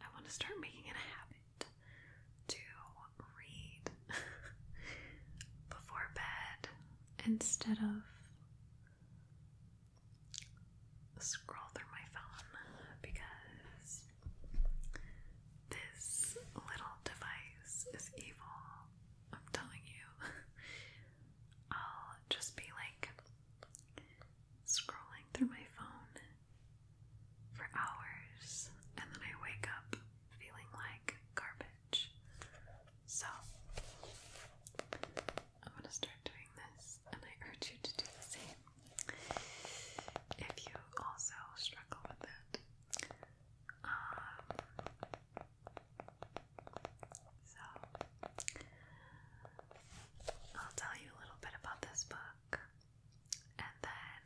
I want to start making it a habit to read before bed instead of scroll through my phone because this little device is evil, I'm telling you. I'll just be like scrolling through my phone for hours and then I wake up feeling like garbage. So, I'm gonna start doing this, and I urge you to do the same if you also struggle with it. Um, so, I'll tell you a little bit about this book, and then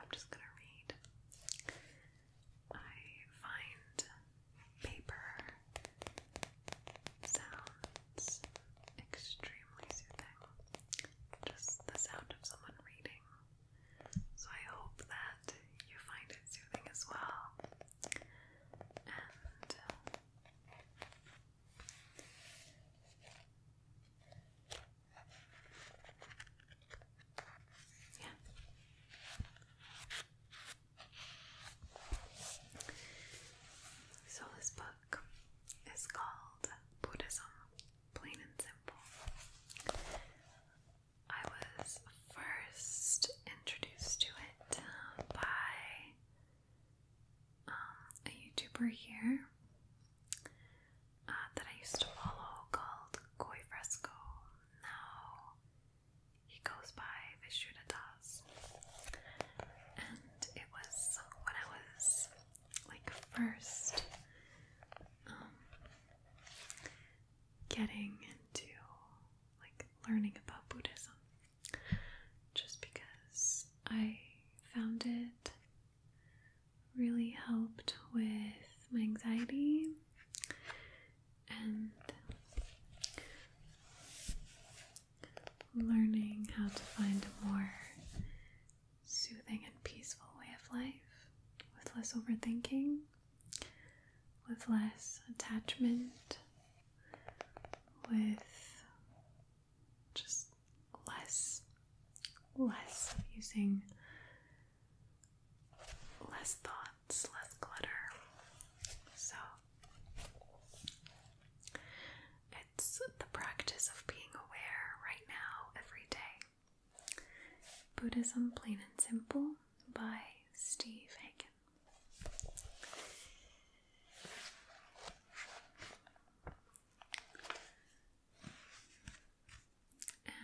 I'm just gonna read. I find paper sounds extremely soothing. Just the sound of someone reading so I hope that you find it soothing as well. Uh, yeah. So this book is called Buddhism plain and simple. I was first introduced to it uh, by um, a YouTuber here uh, that I used to follow called Koi Fresco. Now he goes by Vishudadas. And it was when I was like first um, getting into like learning about Buddhism just because I found it really helped with my anxiety and learning how to find more soothing and peaceful way of life with less overthinking, with less attachment, with just less, less of using less thoughts, less clutter. So it's the practice of being aware right now, every day. Buddhism Plain and Simple by Steve Hagen.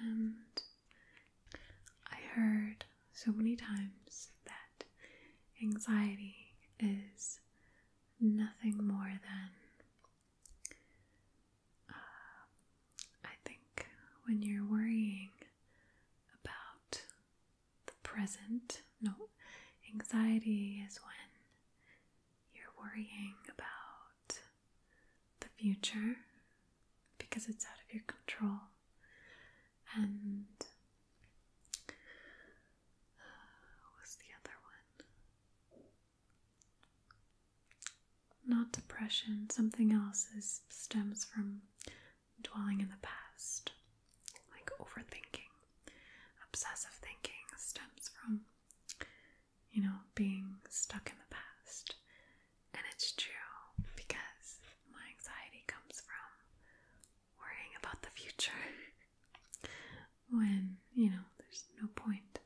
And I heard so many times that anxiety is nothing more than uh, I think when you're worrying about the present, no, anxiety is when you're worrying about the future because it's out of your control. And uh, what's the other one? Not depression, something else is, stems from dwelling in the past, like overthinking. Obsessive thinking stems from, you know, being stuck in the past. And it's true because my anxiety comes from worrying about the future when, you know, there's no point.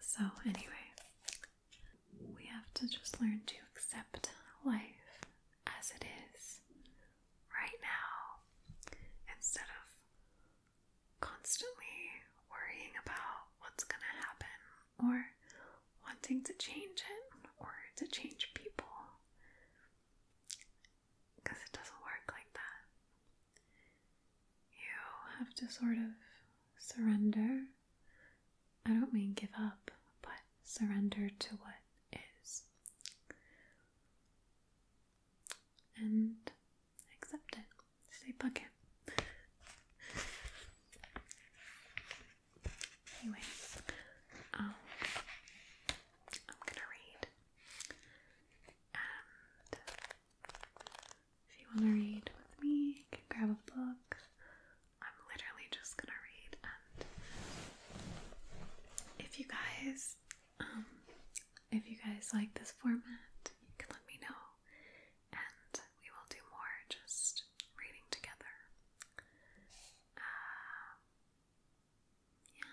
So, anyway, we have to just learn to accept life as it is right now instead of constantly worrying about what's going to happen or wanting to change it or to change people because it doesn't work like that you have to sort of surrender. I don't mean give up, but surrender to what is. And accept it. Stay bucket. Anyways, um, I'm gonna read, if you want to read with me, can grab a book. I'm literally just gonna read, and if you guys, um, if you guys like this format, you can let me know, and we will do more just reading together. Um, yeah.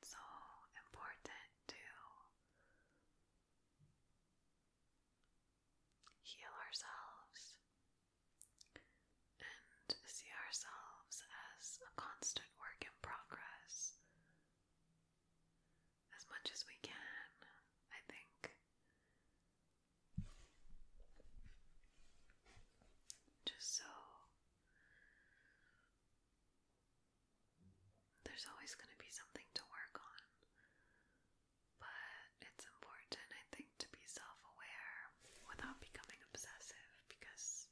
That's why it's so important to heal ourselves and see ourselves as a constant work in progress as much as we can, I think. Just so there's always going to be something to work on, but it's important, I think, to be self aware without becoming obsessive because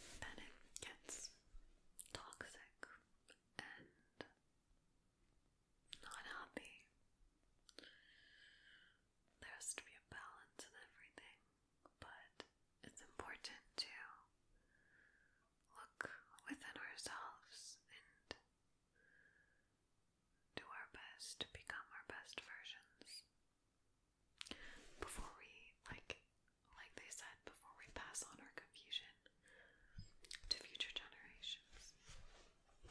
is that it gets toxic and not happy. There has to be a balance in everything, but it's important to look within ourselves and do our best to become our best versions before we, like, like they said, before we pass on our confusion to future generations. Yeah.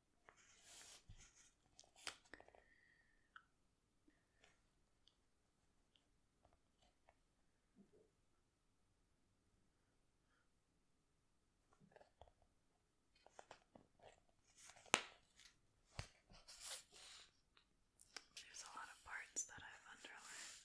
There's a lot of parts that I've underlined.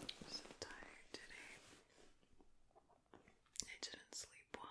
I'm so tired today. I didn't sleep well.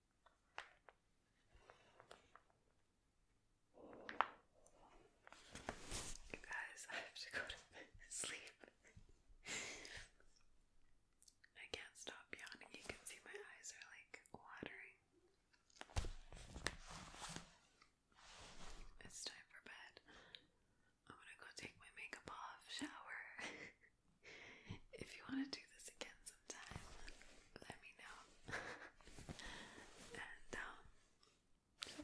You guys, I have to go to sleep. I can't stop yawning. You can see my eyes are like watering. It's time for bed. I'm gonna go take my makeup off, shower. if you want to do this again some time, let me know. and um, so.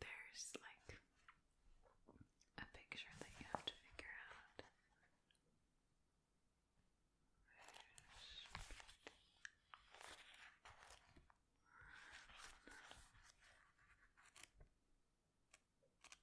There's like a picture that you have to figure out forward. What?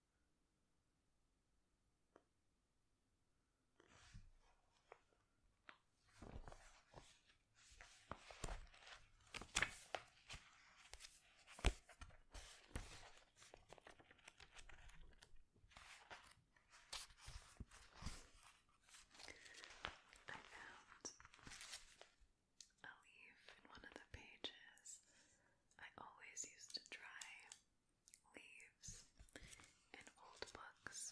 I found a leaf in one of the pages I always used to dry leaves and old books.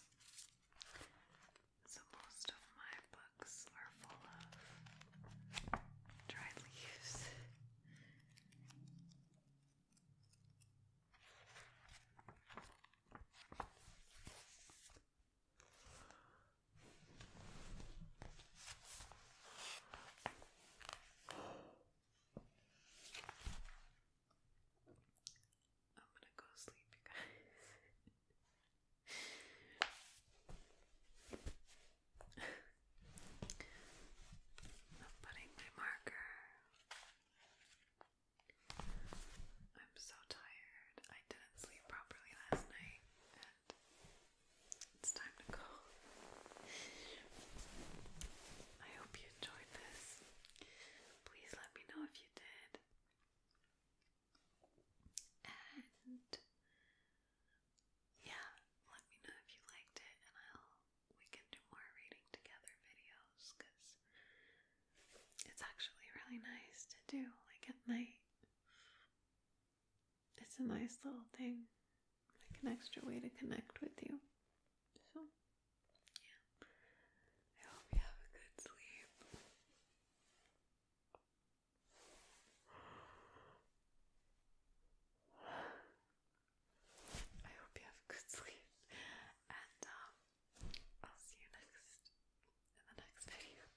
So most of my books are full of dried leaves. I'm gonna go sleep, I'm putting my marker. I'm so tired. I didn't sleep properly last night, it's time to go. I hope you enjoyed this. Please let me know if you did. And yeah, let me know if you liked it, and we can do more reading together videos because it's actually really nice to do like at night it's a nice little thing, like an extra way to connect with you. So, yeah. I hope you have a good sleep. I hope you have a good sleep, and um, I'll see you next in the next video.